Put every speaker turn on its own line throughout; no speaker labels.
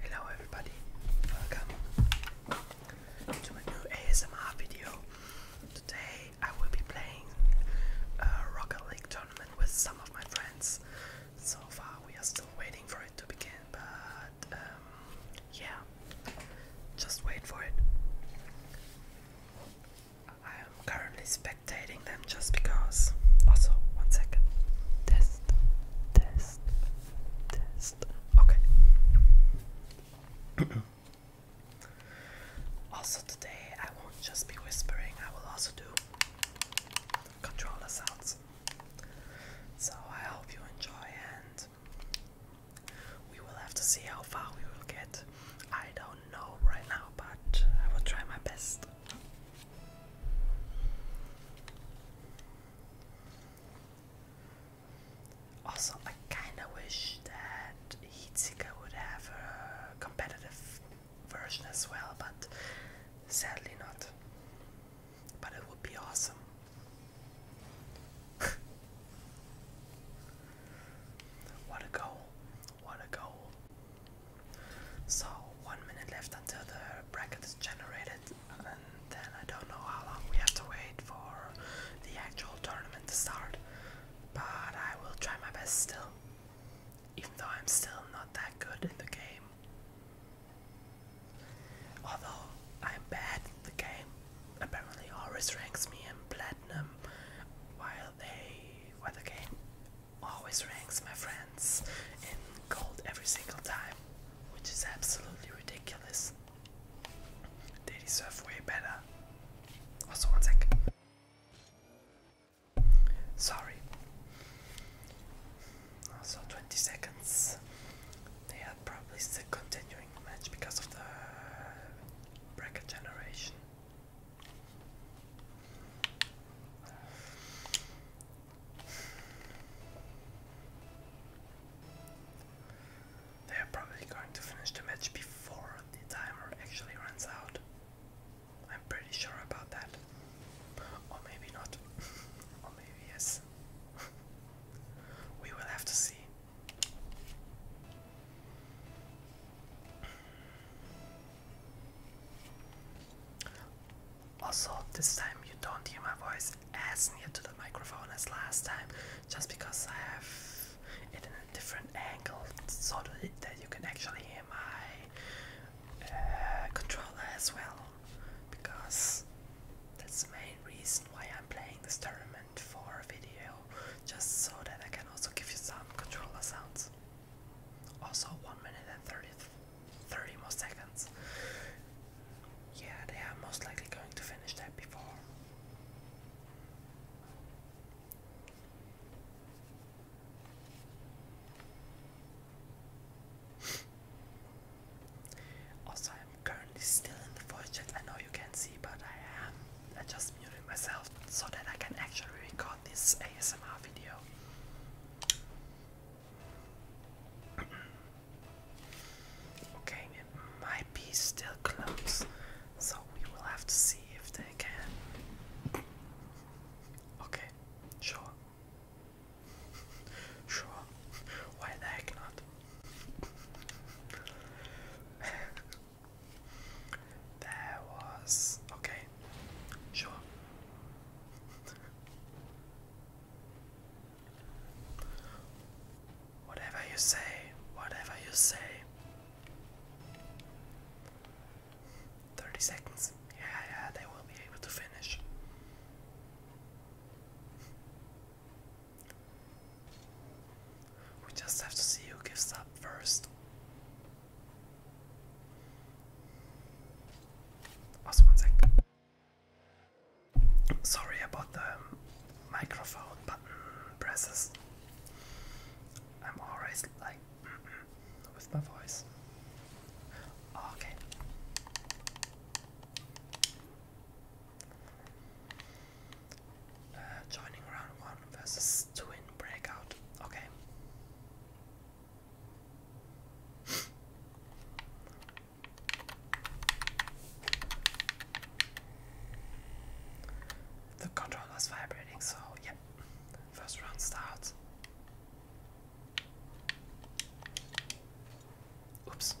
Hello everybody, welcome to a new ASMR video. Today I will be playing a Rocket League tournament with some of my friends. So far we are still waiting for it to begin, but um, yeah, just wait for it. I am currently spe spectating them just because. Also, one second. Test, test, test. Okay. also, today I won't just be whispering, I will also do controller sounds. So, I hope you enjoy, and we will have to see how far we will get. I don't know right now, but I will try my best. Also, I kinda wish that Heatseeker would have a competitive version as well, but sadly not. But it would be awesome. what a goal! What a goal! So one minute left until the bracket is generated, and then I don't know how long we have to wait for the actual tournament to start. But I will try my best still, even though I'm still not that good in the game. Although I'm bad at the game, apparently Horus ranks me in platinum, while they, while the game always ranks my friends in gold every single time, which is absolutely ridiculous. They deserve way better. Also, one Sorry. Also, 20 seconds. They are probably still continuing match because of the bracket generation. They are probably going to finish the match before the timer actually runs out. I'm pretty sure about that. Or maybe not. or maybe yes. we will have to see. Also, this time you don't hear my voice as near to the microphone as last time, just because I have it in a different angle so that you can actually hear my uh, controller as well. Because that's the main reason why I'm playing this tournament for a video, just so that I can also give you some controller sounds. Also, 1 minute and 30, 30 more seconds. Yeah, they are most likely going to finish that before. also, I'm currently still in the voice I know you can see, but I am. I just muted myself so that I can actually record this ASMR video. Okay, it might be still close, so we will have to see if they can. Okay, sure. Sure, why the heck not? There was. Okay. Sure. whatever you say, whatever you say. 30 seconds. Yeah, yeah, they will be able to finish. We just have to see who gives up first. Also, one sec. Sorry about the microphone button presses. I'm always like with my voice. Okay. Uh, joining round one versus two breakout. Okay the controller is vibrating, so yep. First round starts. Oops.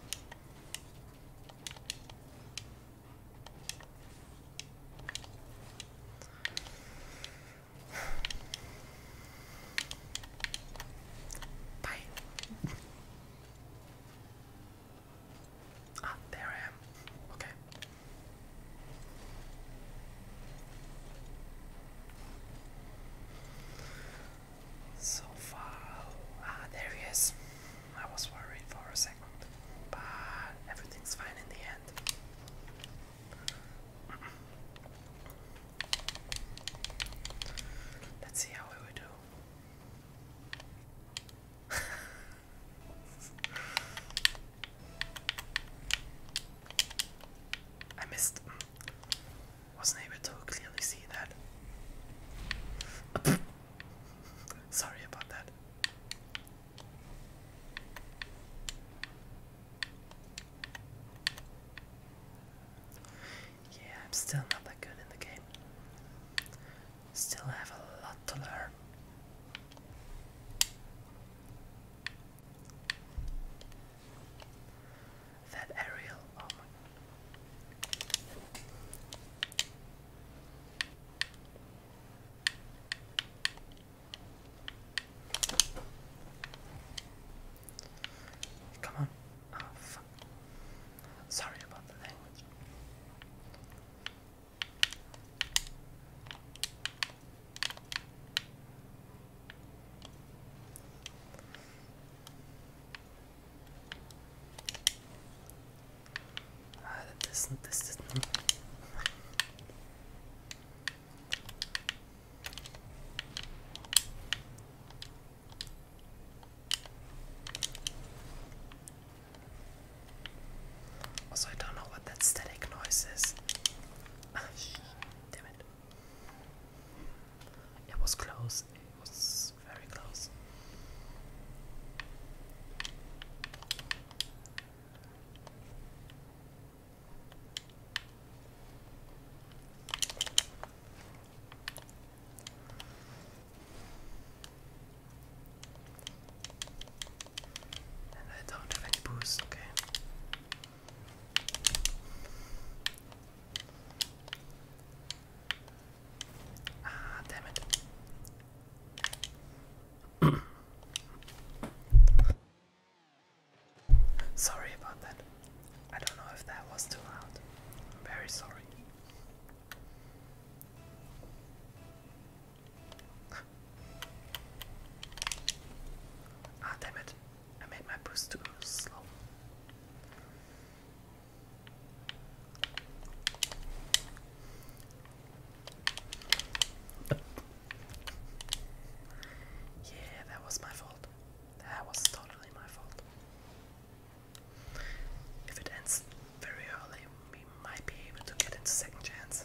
Bye. Ah, there I am. Okay. So far, ah, there he is. I was worried for a second, but everything's fine in the end. Let's see how we do. I missed. Wasn't able to clearly see that. Sorry about that. Yeah, I'm still not that good in the game. Still have a lot to learn. That aerial, oh my. Come on. Oh, fuck. Sorry about the language. Uh, this, this, this. Also, I don't know what that static noise is. Ah, damn it. It was close, it was very close. And I don't have any boost, okay. Ah, damn it. Sorry about that. I don't know if that was too loud. I'm very sorry. Ah, damn it. I made my boost too slow. Yeah, that was my fault. That was totally my fault. If it ends very early, we might be able to get into second chance.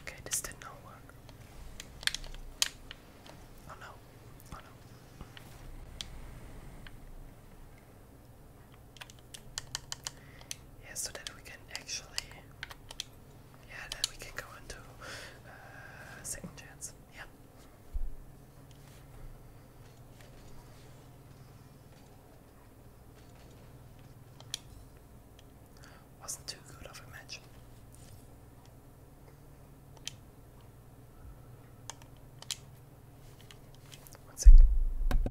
Okay, this did not work. Oh no. Oh no. Yeah, so that we can actually yeah, then we can go on uh, second chance. Yeah. Wasn't too good of a match. One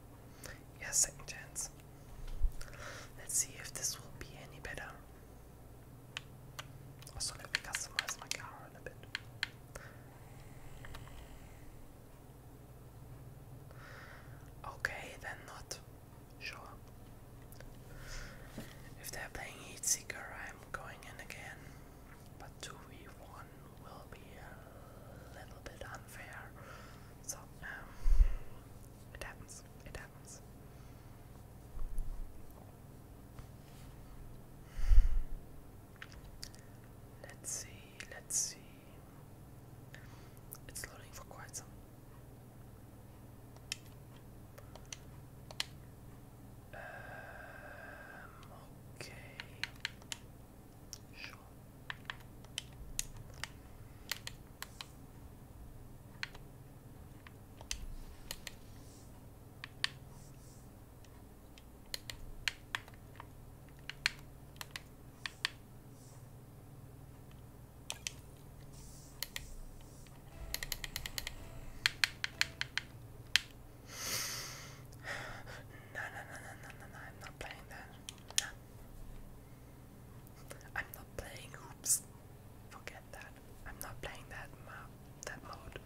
Yes, second chance. Let's see if this will be any better. Also, let me customize my car a bit. Okay, then not. Sure. If they're playing Heat Seeker, I'm going in again. But 2v1 will be a little bit unfair. So, um, it happens. It happens. Let's see, let's see. It's loading for quite some. Um, okay. Sure. no, no, no, no, no, no, no, I'm not playing that. I'm not playing hoops. Forget that. I'm not playing that map, that mode.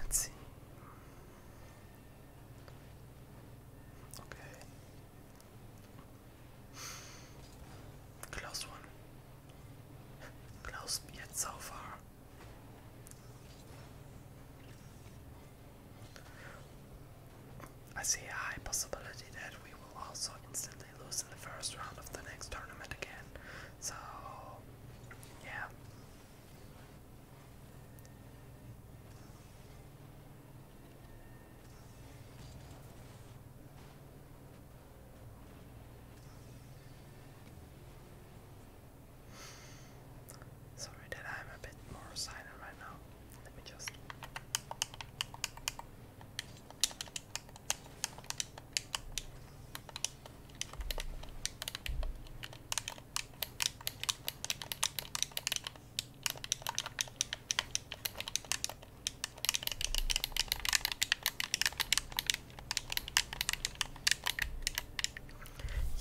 Let's see. Okay. Close one. Close yet so far. I see a high possibility that we will also instantly lose in the first round of the next tournament again. So, yeah. Sorry that I'm a bit more silent right now. Let me just.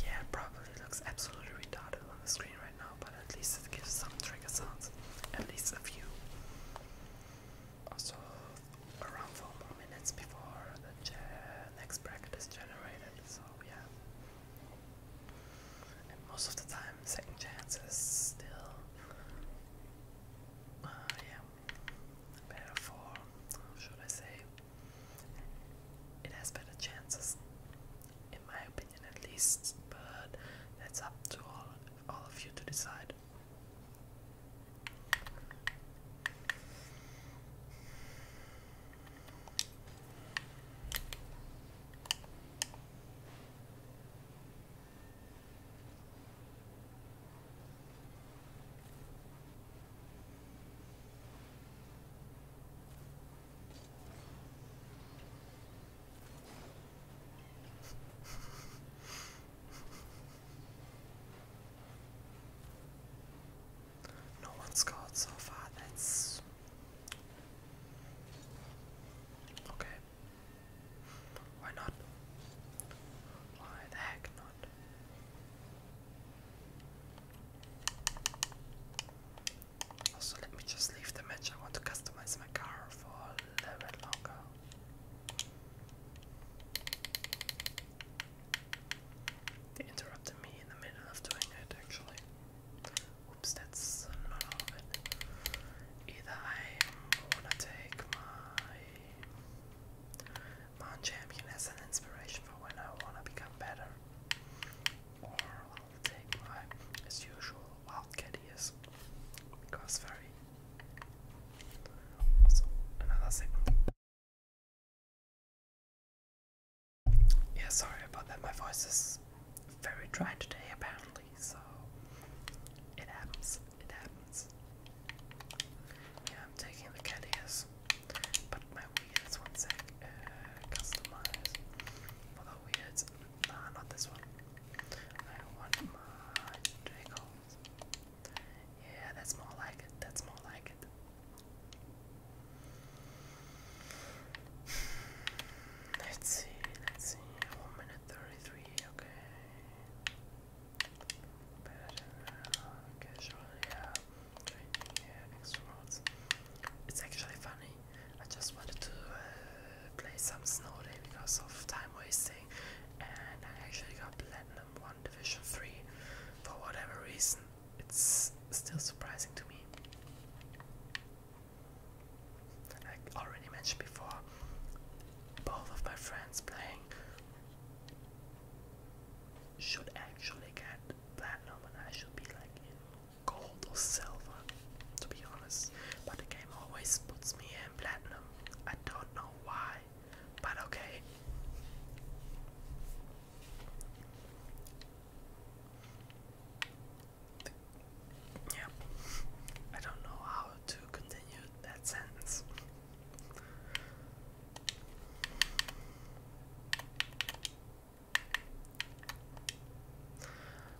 Yeah, probably looks absolutely retarded on the screen right now, but at least it gives some trigger sounds, at least a few. Also, around 4 more minutes before the next bracket is generated, so yeah. And most of the time, second chance still, uh, yeah, better for, should I say, it has better chances in my opinion at least, but that's up to all, all of you to decide. No one scored so far, that's okay. Why not? Why the heck not? So let me just leave the match. I want to customize my car for a little longer. They interrupted me in the middle of doing it, actually. Oops, that's not all Either I wanna take my Mon Champion as an inspiration for when I wanna become better, or I'll take my, as usual, wild ears. Because very... Also, another signal. Yeah, sorry about that. My voice is very dry today, apparently, so it happens. It happens. Yeah, I'm taking the cat but my weird one sec. Uh, customize although weird. Nah, not this one. I want my Jacobs. Yeah, that's more like it. That's more like it. Let's see, let's see. One minute thirty-three, okay. Better, uh, okay, yeah. It's actually funny. I just wanted to uh, play some Snow Day because of time wasting, and I actually got Platinum 1 Division 3 for whatever reason. It's still surprising to me. Like already mentioned before, both of my friends playing should actually get platinum, and I should be like gold or silver, to be honest. But the game always puts me in platinum. I don't know why, but okay. Yeah, I don't know how to continue that sentence.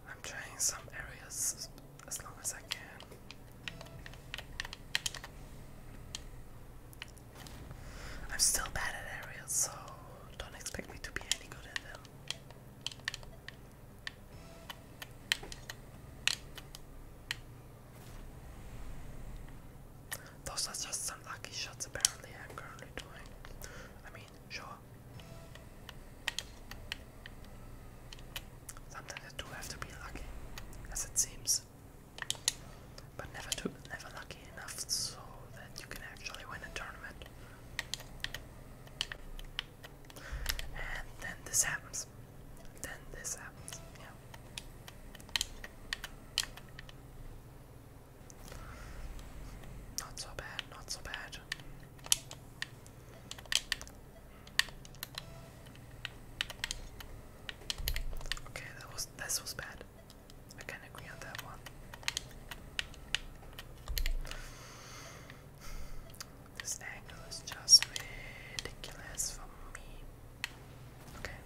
I'm trying some areas as long as I can. I'm still bad at areas, so don't expect me to be any good at them. Those are just some lucky shots apparently I'm currently doing. I mean, sure, Sometimes I do have to be lucky, as it seems. But never too, never lucky enough so that you can actually win a tournament. And then this happens. Then this happens. Yeah. Not so bad, not so bad. Okay, that was this was bad. I can agree on that one. This angle is just ridiculous for me. Okay.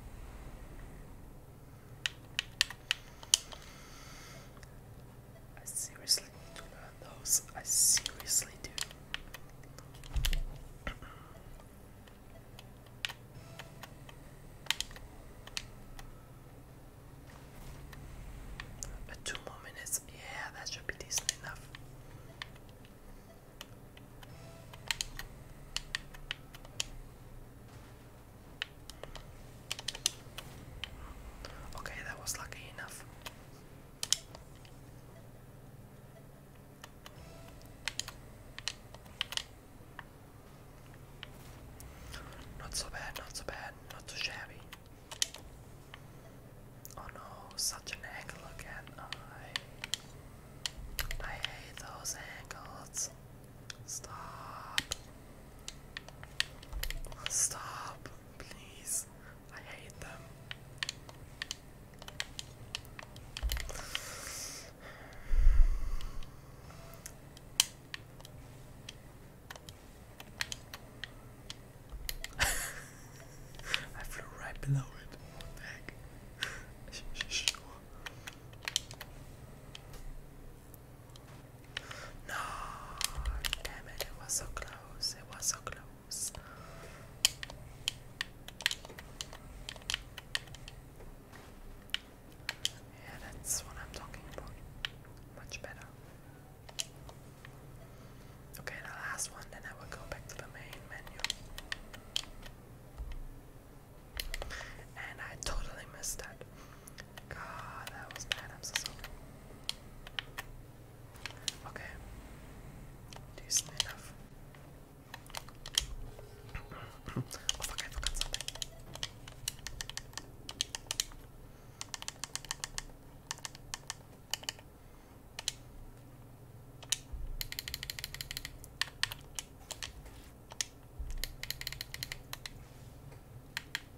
I seriously do those. I seriously do. But two more minutes, yeah, that should be decent enough. Okay, that was lucky enough. Not so bad, not so bad, not too shabby. Oh no, such an angle again. I I hate those angles. Stop. Stop, please. I hate them. I flew right below it. What the heck? No, damn it, it was so close. It was so close. Yeah, that's what I'm talking about. Much better. Okay, the last one, then I will go back to the main menu. And I totally missed that. God, that was bad. I'm so sorry. Okay. Decent enough. oh fuck, I forgot something.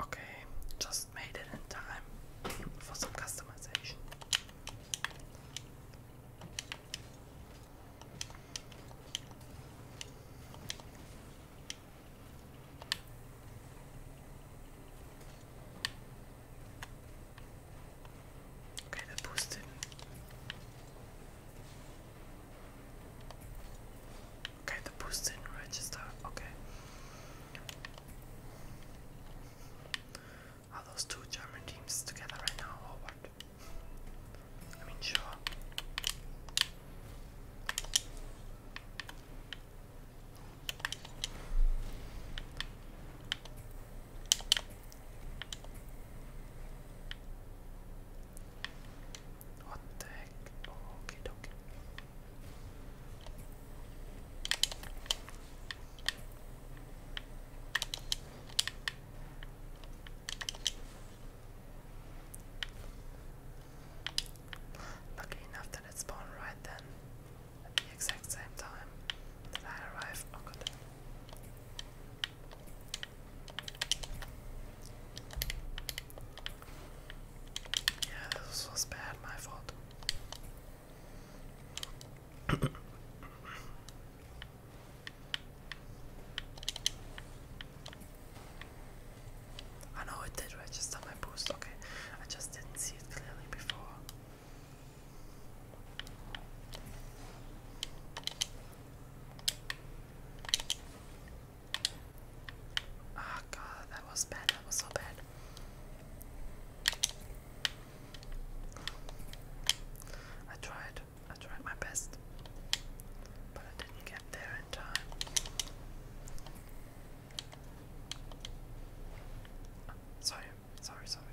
Okay, just made it in time for some customization. Okay, the boost Okay, the boost didn't register. Okay. Are those two German teams together right now or what? I mean, sure. What the heck? Oh, okay, okay. Lucky enough that it spawned right then, at the exact same time that I arrived. Oh yeah, this was bad, my fault. I know it did register my boost, okay. I just didn't see it clearly before oh, God, that was bad. That was so bad. I tried. I tried my best, but I didn't get there in time. sorry, sorry, sorry.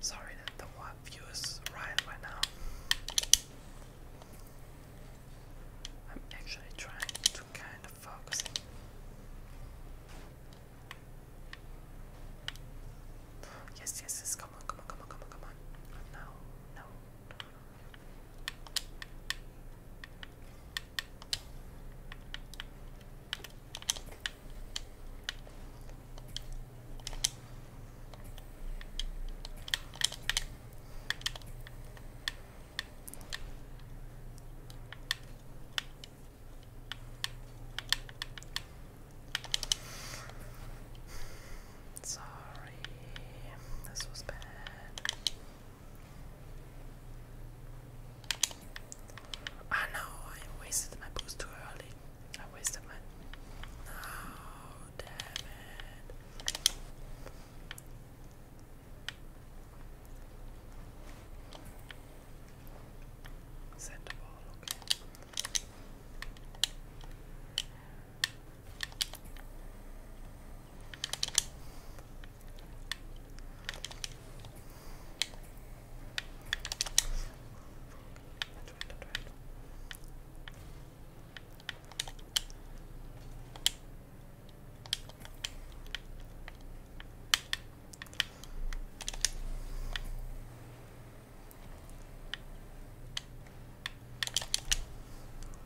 Sorry that the view is right right now. I'm actually trying to kind of focus. Yes, yes, yes, come on, come on, come on, come on, come on. no, no, no. Sorry, this was bad. I know I wasted my boost too early. I wasted my. No, damn it. Send ball,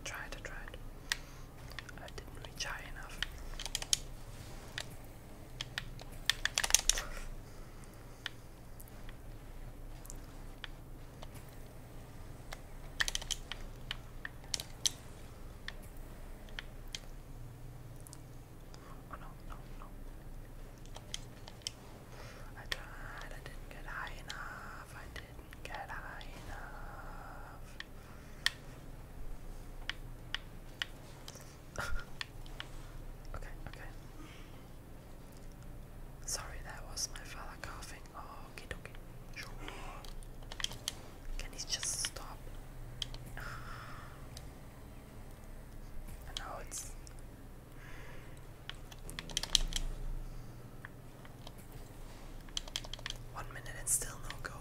Try to try it. I didn't reach high enough. Oh no, no, no. I tried, I didn't get high enough, I didn't get high enough. okay, okay. Sorry, that was my father coughing. Oh, okay, okay. Sure. Can he just stop? And now it's. One minute and still no gold.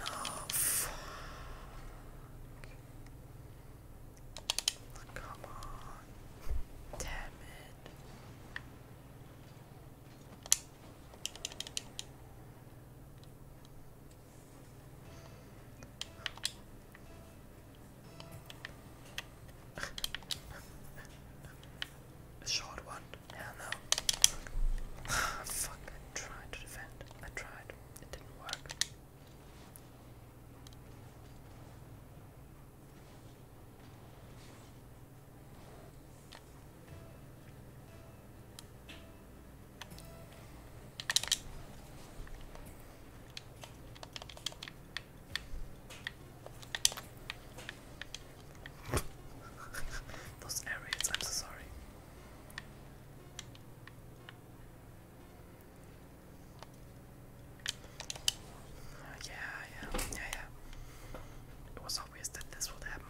Oh, fuck. Come on. Damn it. A short one. Hell no. Fuck, I tried to defend. I tried. It didn't work. Those areas, I'm so sorry. Uh, yeah, yeah, yeah, yeah. It was obvious that this would happen.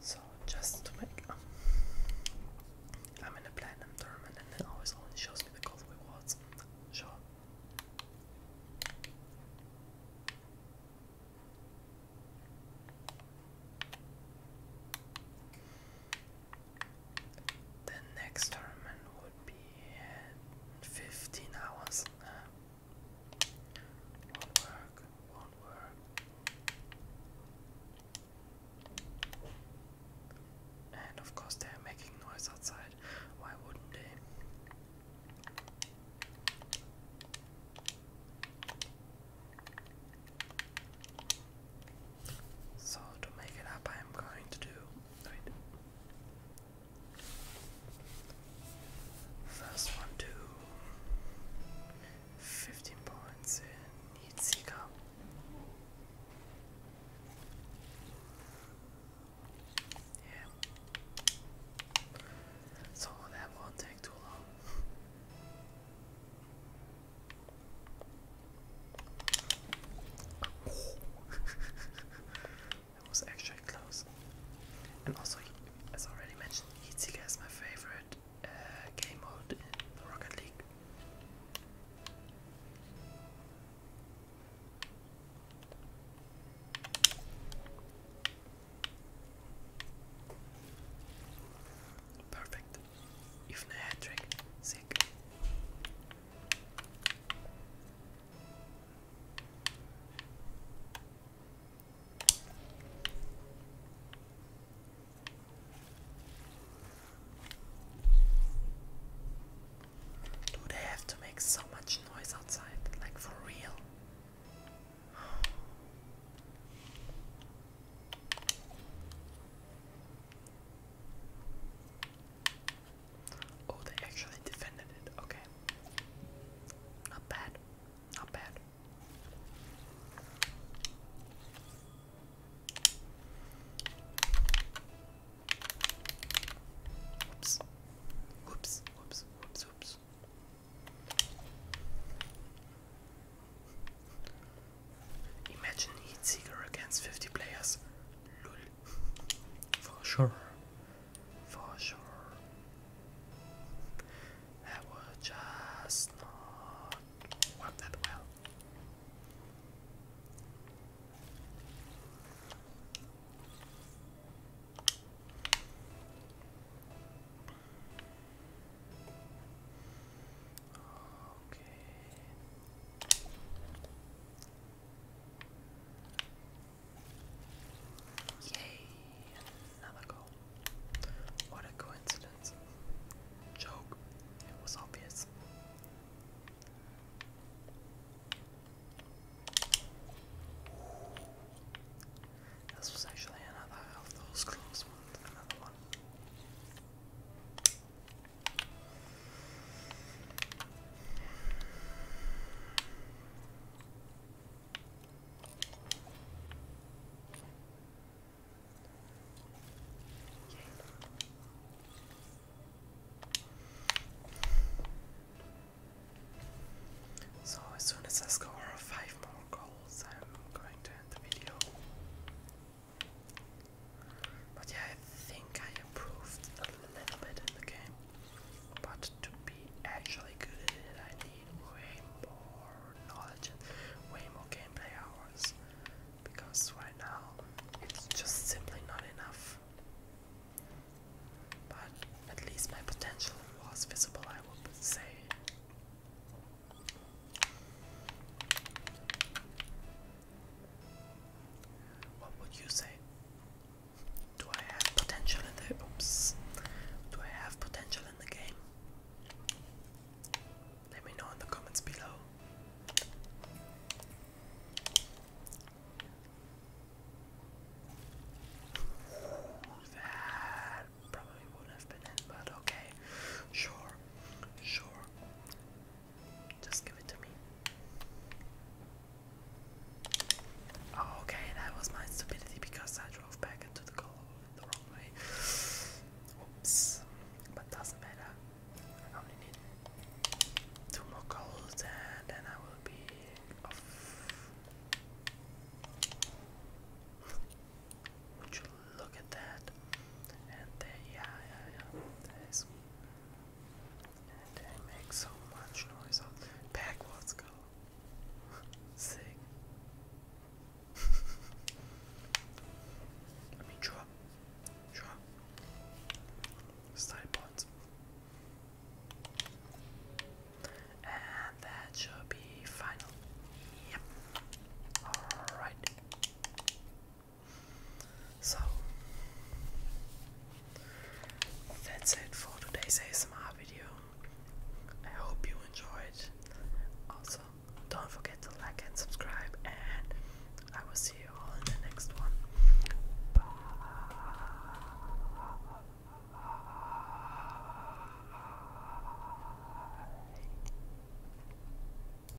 So just to make um, I'm in a platinum tournament and it always only shows me the gold rewards. Sure. The next tournament would be 15 hours. won't work, won't work. And of course, they're making noise outside. Why wouldn't they? So to make it up, I'm going to do. First one to 15 points in Heat Seeker. Yeah. So that won't take too long that was actually close. And also, as already mentioned, Heatsiga is my favorite uh, game mode in the Rocket League. Perfect. Even a hat trick. Sick. Do they have to make so much noise outside? Like for real? Oh, they actually defended it. Okay. Not bad. Not bad. Whoops. Whoops. Whoops. Whoops. Imagine Heatseeker against 50 players. For sure. For sure. That would just not work that well. Okay. Yay! Another goal. What a coincidence. Joke. It was obvious. This was actually another of those close ones. Another one. So, as soon as I score five more goals, I'm going to end the video. But yeah, I think I improved a little bit in the game. But to be actually good at it, I need way more knowledge and way more gameplay hours. Because right now, it's just simply not enough. But at least my potential was visible, I would say. What would you say? Do I have potential in the oops? Do I have potential in the game? Let me know in the comments below. That probably would have been it, but okay. Sure, sure. Just give it to me. Oh, okay, that was my stupidity because I drove back into the color the wrong way. Oops, but doesn't matter. I only need two more goals and then I will be off look at that. And then, yeah, yeah, yeah. they make so much noise. Backwards go. Sick. I mean, drop. Drop. Style points. And that should be final. Yep. Alright. So, that's it for today's ASMR video. I hope you enjoyed. Also, don't forget to like and subscribe, and I will see you all in the next one. Bye.